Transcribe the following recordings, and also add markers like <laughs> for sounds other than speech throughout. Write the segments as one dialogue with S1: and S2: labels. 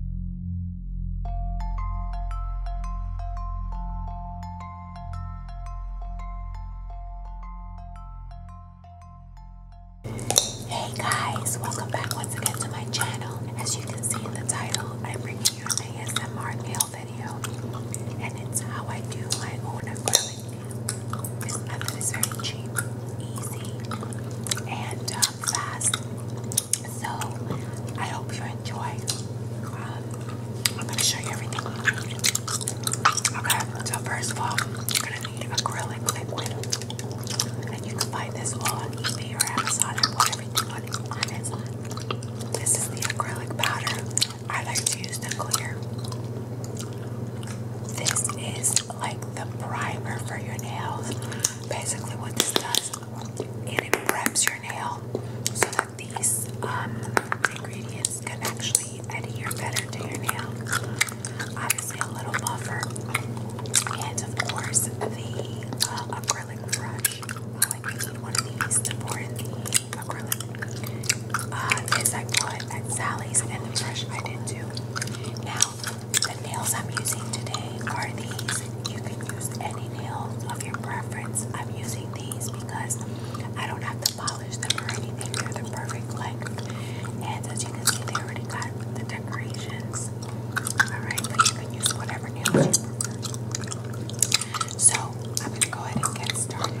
S1: Hey guys, welcome back once again to my channel. As you can see in the title, I'm bringing you an ASMR nail video, and it's how I do my own acrylic This method is very cheap, easy, and um, fast. So I hope you enjoy. Um, I'm gonna show you everything. Okay, so first of all, you're gonna need acrylic liquid, and you can find this all on eBay or Amazon. I bought everything on This is the acrylic powder. I like to use the clear. This is like the primer for your nails. Basically, what this does and it preps your nail so that these um, ingredients can actually adhere better to your nail. Obviously, a little buffer, and of course, the uh, acrylic brush. I Like you need one of these to pour in the acrylic. Uh, I bought at Sally's, and the brush I did too. Now, the nails I'm using today are these. You can use any nails of your preference. I'm using these because I don't have to polish them or anything. They're the perfect length. And as you can see, they already got the decorations. Alright, but you can use whatever nails you prefer. So, I'm going to go ahead and get started.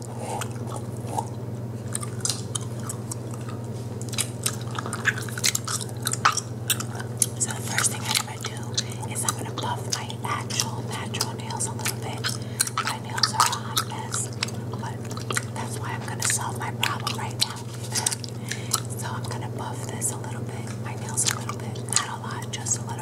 S1: So the first thing I'm gonna do is I'm gonna buff my actual natural nails a little bit. My nails are a hot mess, but that's why I'm gonna solve my problem right now. so I'm gonna buff this a little bit, my nails a little bit, not a lot, just a little.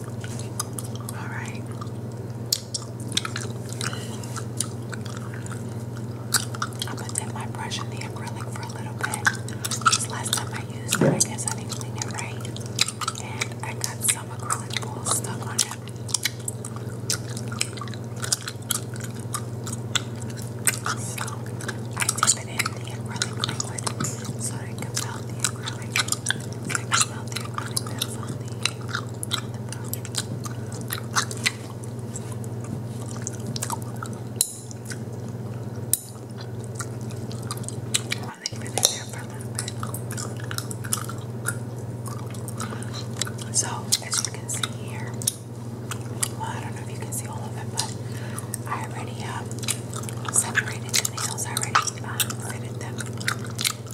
S1: All right. I'm gonna dip my brush in the acrylic for a little bit. Because last time I used it, I guess I didn't clean it right. And I got some acrylic glue stuck on it. So I dip it in the acrylic liquid so that can melt the acrylic. So, as you can see here, well, I don't know if you can see all of it, but I already Um, separated the nails already, um, fitted them,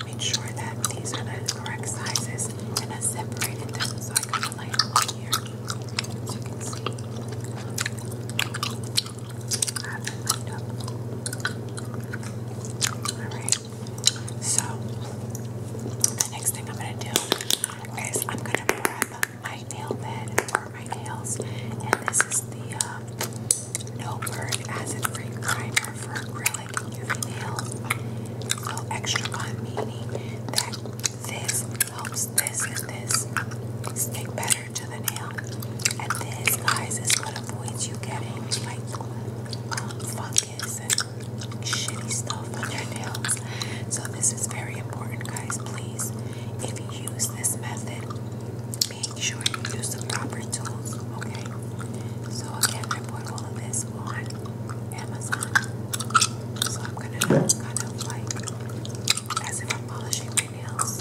S1: made sure that these are the correct sizes, and I separated them so I kind lay them here, as you can see. Alright, so the next thing I'm going to do is I'm going to prep my nail bed my nails, and this is the uh, No Burn Acid Free Primer for acrylic UV nails. So extra one meaning that this helps this and this stick better to the nail, and this guys is what avoids you getting like um, fungus and shitty stuff on your nails. So this is very important, guys. Please, if you use this method make sure you use the proper tools, okay? So again, I bought all this on Amazon. So I'm gonna do of like as if I'm polishing my nails.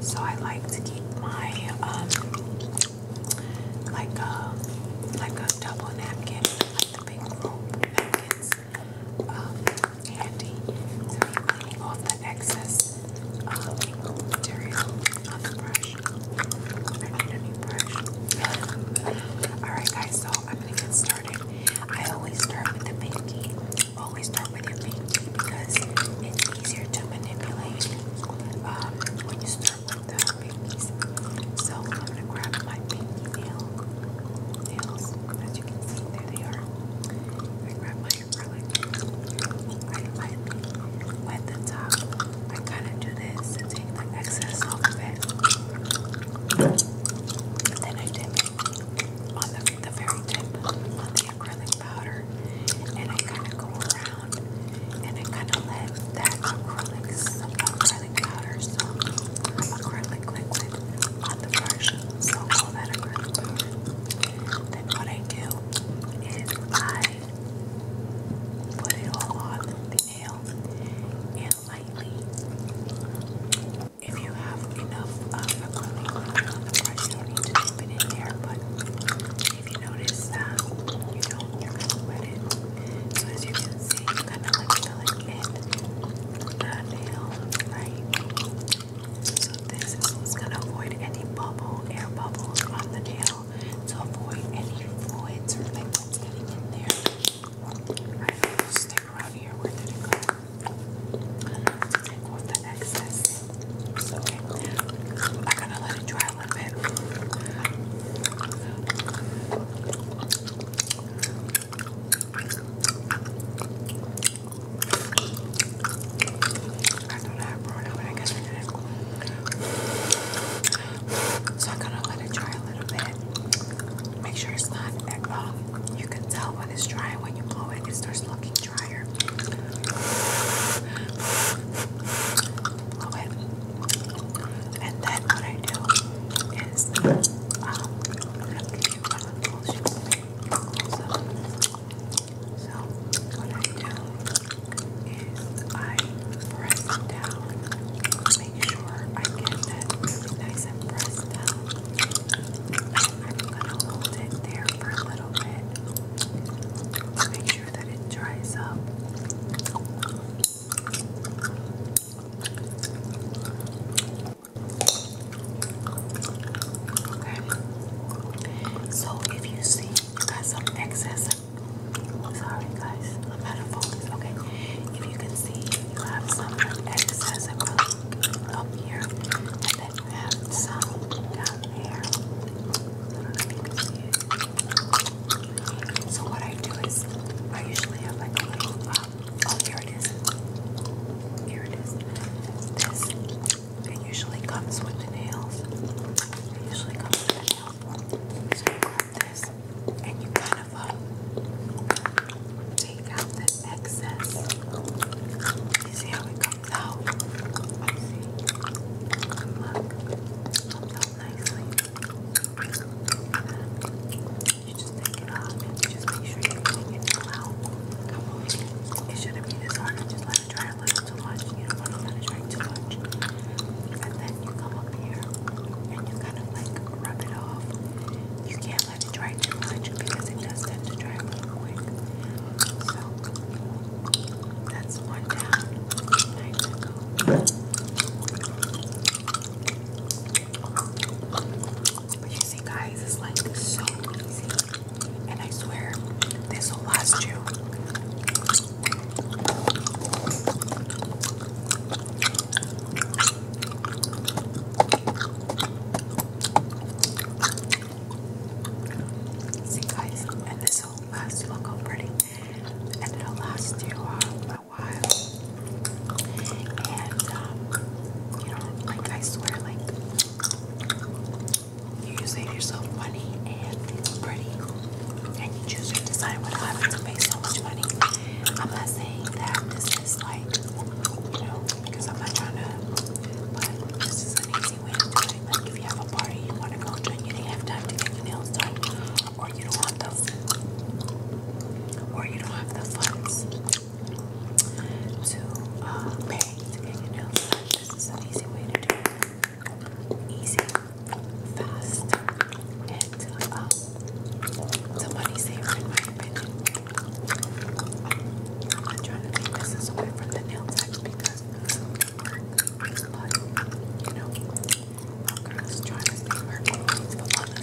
S1: So I like to keep my um like a um, like a double napkin, like the big roll napkins um, handy to be cleaning off the excess I Alright guys, so I'm gonna get started. I always start with the pinky. Always start with your pinky because it's easier to manipulate um, when you start with the pinkies. So I'm gonna grab my pinky nail nails. As you can see, there they are. I grab my acrylic like lightly the top. I kind of do this to take the excess off of it. Then I dip it on the, the very tip of the acrylic powder and I kind of go around and I kind of let that acrylic, acrylic powder, so acrylic liquid on the brush, so all that acrylic powder. Then what I do is I Put it all on the nail and lightly. If you have enough uh, of a the brush, you don't need to dip it in there. But if you notice that you don't, you're gonna wet it. So as you can see, you kind of like filling in the nail, right? So this is gonna avoid any bubble, air bubbles on the nail to avoid any fluids or liquids getting in there. stick around here. Where did it go? To take off the excess. So I'm gonna let it dry a little bit. I don't know how it, but I guess so I'm gonna let it dry a little bit. Make sure it's not um, you can tell when it's dry when you blow it, it starts looking drier. Blow it. And then what I do is um, so what I do is I press down, make sure I get that nice and pressed down. And I'm gonna hold it there for a little bit to make sure that it dries up. Okay. So if you see you got some excess Sorry guys, I'm out of focus. Okay, if you can see, you have some excess acrylic up here, and some down there. So what I do is, I usually have like a little, um, oh here it is. Here it is. This it usually comes with the nails. So you grab this and you kind of um, take out the excess. see how it comes out? Look, comes out nicely. You just take it off just make sure you take it all out. It shouldn't be this hard try to look too much. You don't want to let it drink too much. And then you come up here and you kind of like rub it off. You can't let it dry too much because it does tend to dry real quick. So that's one down. Nine to go. But you see, guys, it's like so easy. And I swear, this will last you See guys, and this whole last look how pretty, and it'll last you a while. And um, you know, like I swear, like you save yourself money and it's pretty, and you choose to decide whether I want to pay so much money. I'm not saying that this is like, you know, because I'm not trying to, but this is an easy way to do it. Like if you have a party you want to go to and you didn't have time to get your nails done, or you don't have the, or you don't have the funds to uh, pay to get your nails done, this is an easy way to do it easy, fast, and um, uh, money saver in my opinion. I'm trying to take this away from the nail techs because, you know, my girl's trying to stay her goals for other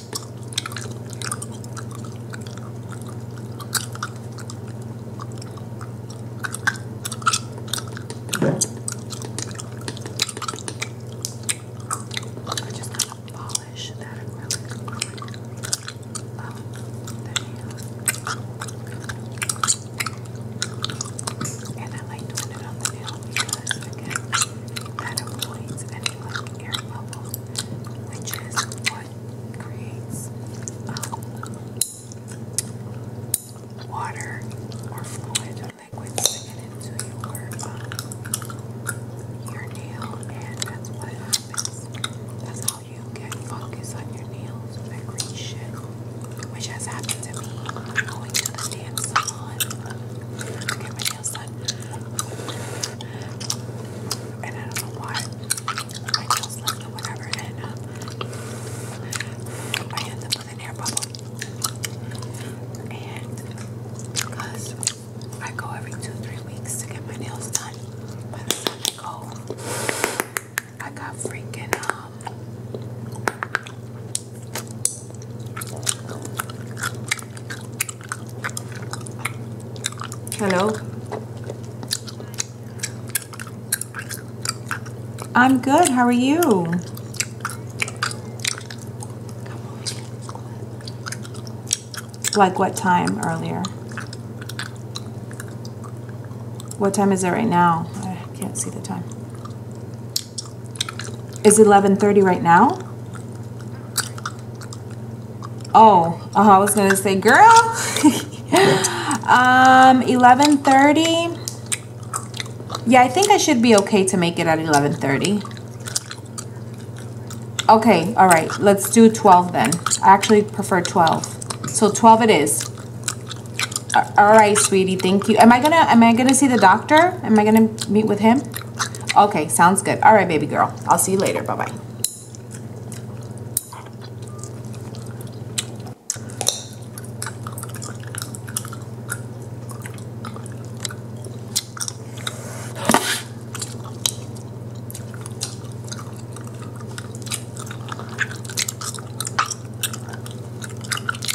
S1: I just gotta polish that acrylic. Oh, there you go. And I like doing it on the nail because, again, that avoids an air bubble, which is what creates water or fluid or liquid sticking into your, um, your nail, and that's what happens. That's how you get fungus on your nails that green shit, which has happened to me going to the dance salon the outside. And I don't know why. My nails left whatever. And I ended up with an air bubble. And because I go every two, three weeks to get my nails done, by the time I go, I got freaking um Hello. I'm good. How are you? Like what time earlier? What time is it right now? I can't see the time. It's 11.30 right now? Oh, uh, I was going to say, girl. <laughs> um, 11.30. Yeah, I think I should be okay to make it at 11.30. Okay, all right. Let's do 12 then. I actually prefer 12. So 12 it is. All right, sweetie. Thank you. Am I going to am I going to see the doctor? Am I going to meet with him? Okay, sounds good. All right, baby girl. I'll see you later. Bye-bye.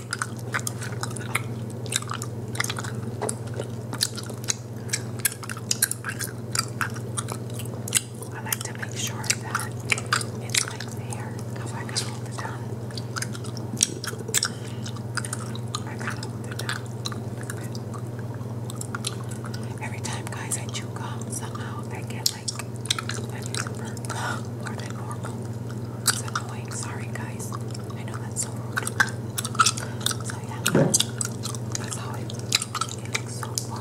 S1: I like to make sure that it's like there because I can hold it down. I gotta hold it down. Every time, guys, I chew gum, somehow I get like an even or than normal. It's annoying. Sorry, guys. I know that's so rude. So yeah, that's how I it so far.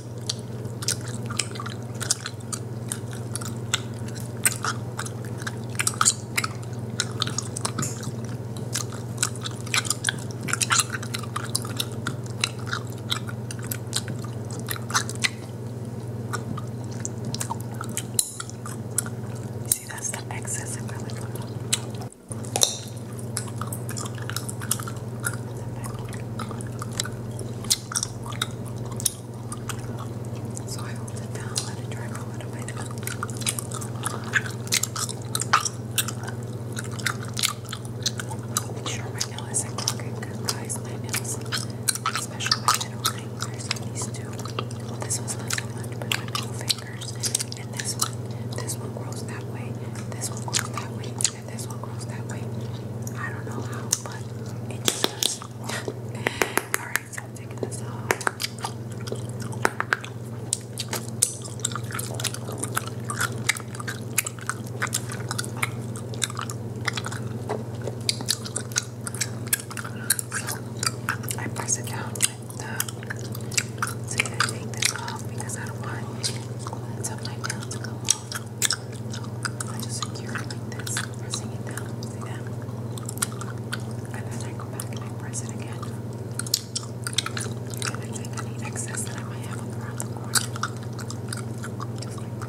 S1: See, that's the excess of really good. So I hold it down, let it dry for a little bit. Sure, my nail isn't crooked because guys, my nails, especially my middle fingers, these two. Well, this one's not so much, but my middle fingers and this one, this one grows that way, this one grows that way, I don't know how, but it just does. <laughs> Alright, so taking this off. I press it down with the so I take this off because I don't want some of my nails to I just secure it like this, pressing it down. See that? And then I go back and I press it again. And I take any excess that I might have up around the corner. Just like this.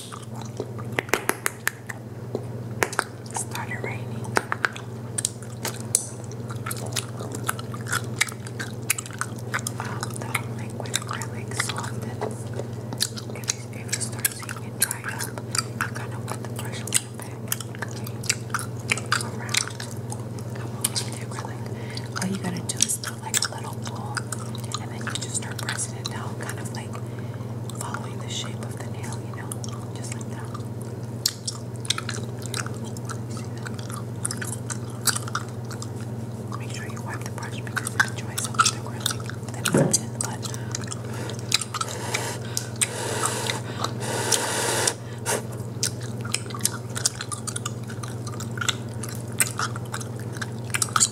S1: It started raining. Um, the liquid acrylic softens. If if you start seeing it dry up, you kind of put the brush a little bit around. Come over the acrylic. All you gotta do is put like a little ball and then you just start pressing it down, kind of like following the shape of the nail, you know, just like that. Make sure you wipe the brush because it enjoys some of the grilling that is in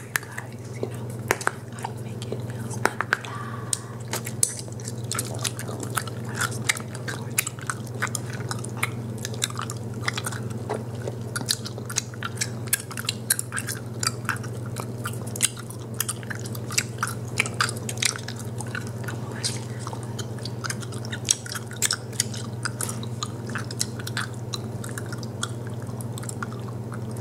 S1: for you guys, you know, how you make nails look flat.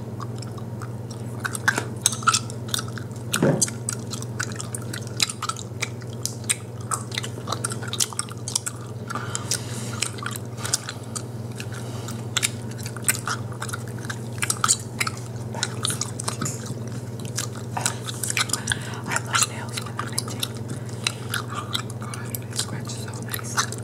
S1: I love nails when I'm itching. They oh scratch so nice.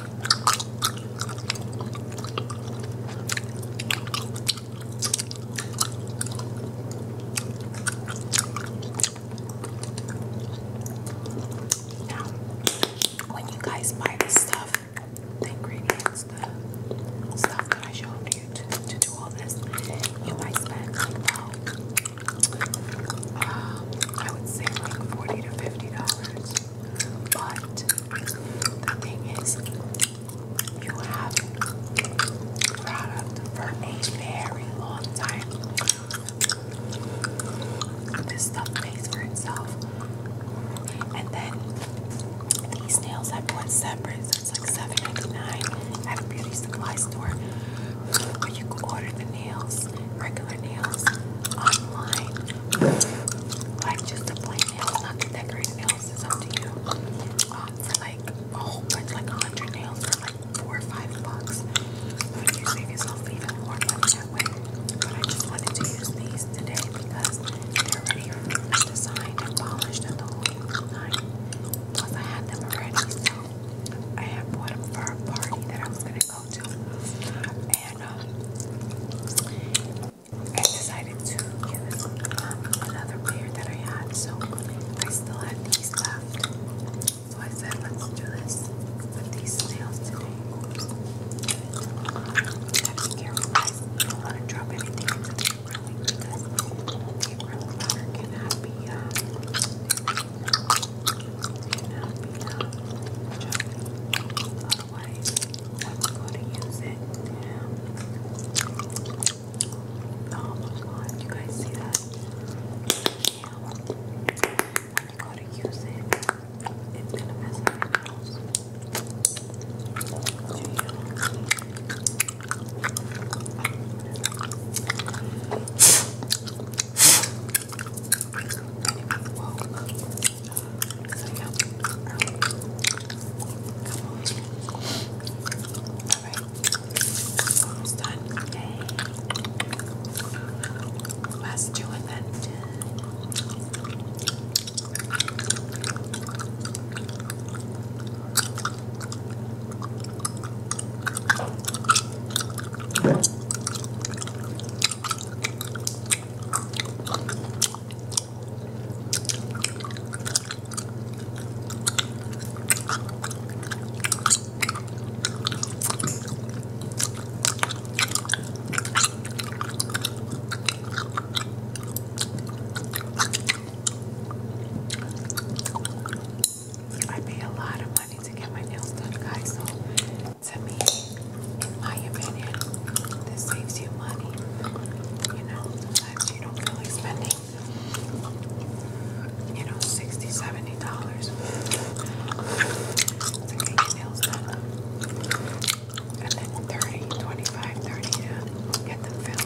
S1: Now, when you guys buy the stuff, ingredients, the stuff that I showed you to, do all this, you might spend um, I would say like 40 to $50. But the thing is, you have product for a very long time. This stuff pays for itself. And then these nails I bought separate, so it's like $7.99 at a beauty supply store. But you can order the nails regular nails online. Like just a plain nails, not the decorated nails, it's up to you. Um, for like a whole like a hundred nails for like four or five bucks. You save yourself even more money that way. I just wanted to use these today because they're already designed and polished the whole nine. Plus I had them already, so I had bought for a party that I was gonna um, I decided to give this um, another pair that I had, so I still had these left. So I said, let's do this with these nails today. got don't want to drop anything into the acrylic because uh, Oh my god, you guys see that? Yeah. When you go to use it, it's gonna mess up your nails. Almost done. Yay. Last two and then I pay a lot of money to get my nails done, guys, to me, in my opinion, this saves you money. You know, sometimes you don't feel like spending, you know, $60, $70 to nails done. And then 30, 25, get them filled.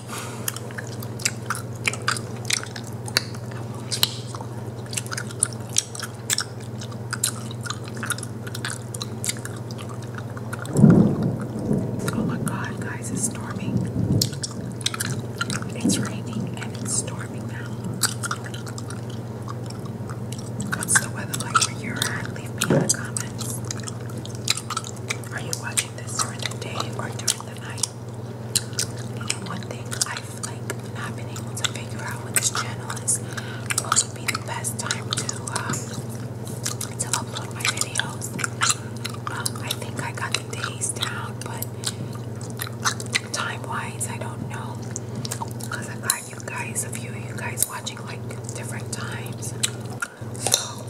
S1: Oh my god, guys, it's storming. It's raining and it's storming now. What's the weather like where you're at? Leave me in the comments. Are you watching this during the day or during the night? And one thing I've like not been able to figure out with this channel is what would be the best time to um, to upload my videos. Um, I think I got the days down, but time wise, I don't know because I got you guys a few of you guys watching like different times. So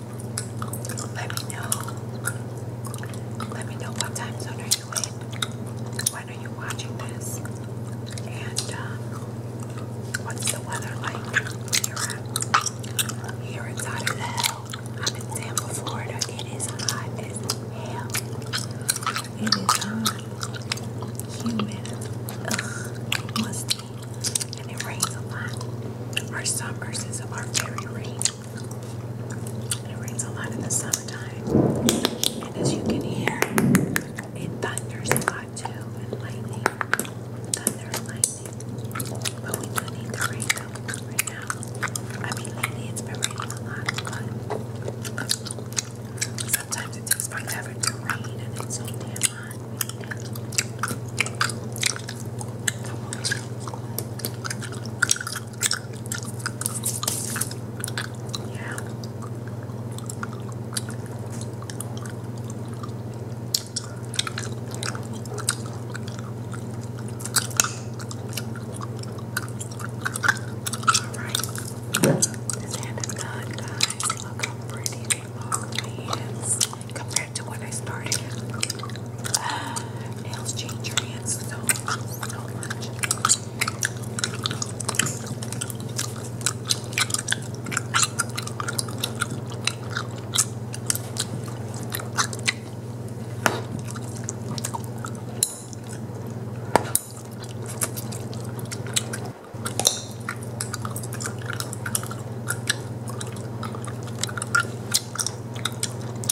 S1: let me know. Let me know what time zone are you in? When are you watching this? And um, what's the weather like here? Here it's hot as hell. I'm in Tampa, Florida. It is hot as hell. It is hot, humid, ugh, musty, and it rains a lot. Our summers is our very rain. It rains a lot in the summertime. And as you can hear, it thunders a lot too, and lightning. Thunder and lightning. But we do need the rain right now. I mean, lately it's been raining a lot, but sometimes it takes forever to rain, and it's so damn hot. Yeah. Alright, this hand is done, guys. Look how pretty they are. Compared to when I started. Nails change your hands so, so much.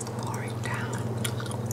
S1: pouring down. Come on.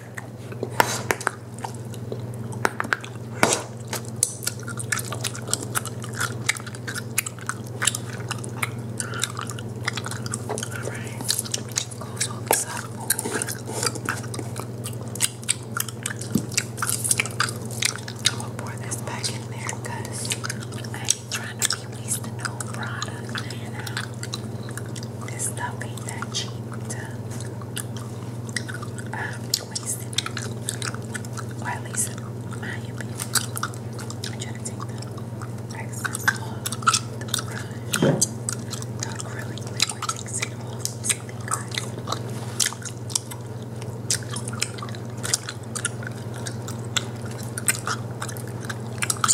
S1: Alright, close all this up. I'm gonna pour this back in there because I ain't trying to be wasting no product, you know. This stuff ain't that cheap to um, be at least in my opinion. I to take the excess off the brush. The acrylic liquid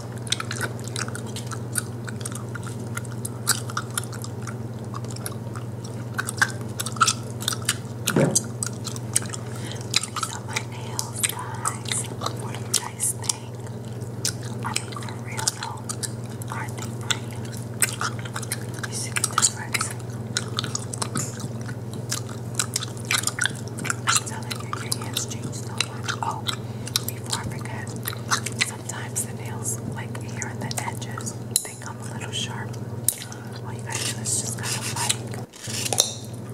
S1: These are my nails, guys. What do you guys think? I mean, for real though, aren't they pretty? You see the difference? telling you, your hands change so much. Oh, before I forget, sometimes the nails, like here in the edges, they come a little sharp. All you got just kind of like,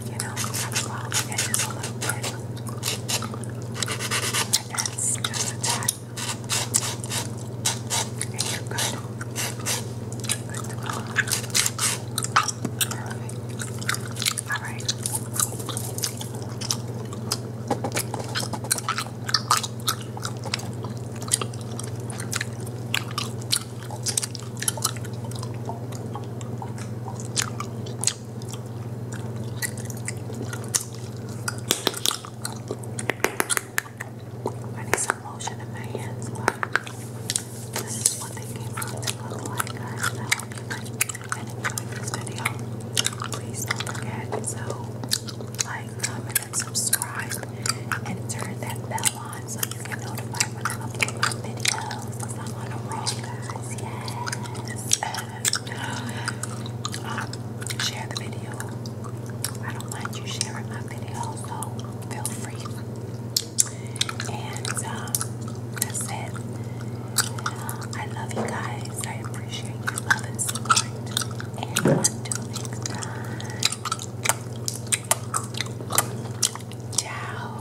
S1: you know, kind the edges a little bit. And that's just And you're good. All right. I need some lotion in my hands. Wow. This is what they came out to look like, guys. And I hope you guys have enjoyed this video. Please don't forget to like, comment, and subscribe, and turn that bell on so you get notified when I upload my videos. Cause I'm on a roll, guys. Yes. share the video. I don't mind you sharing my videos. so feel free and um, that's it. Um, I love you guys. I appreciate your love and support. And until next time. Ciao.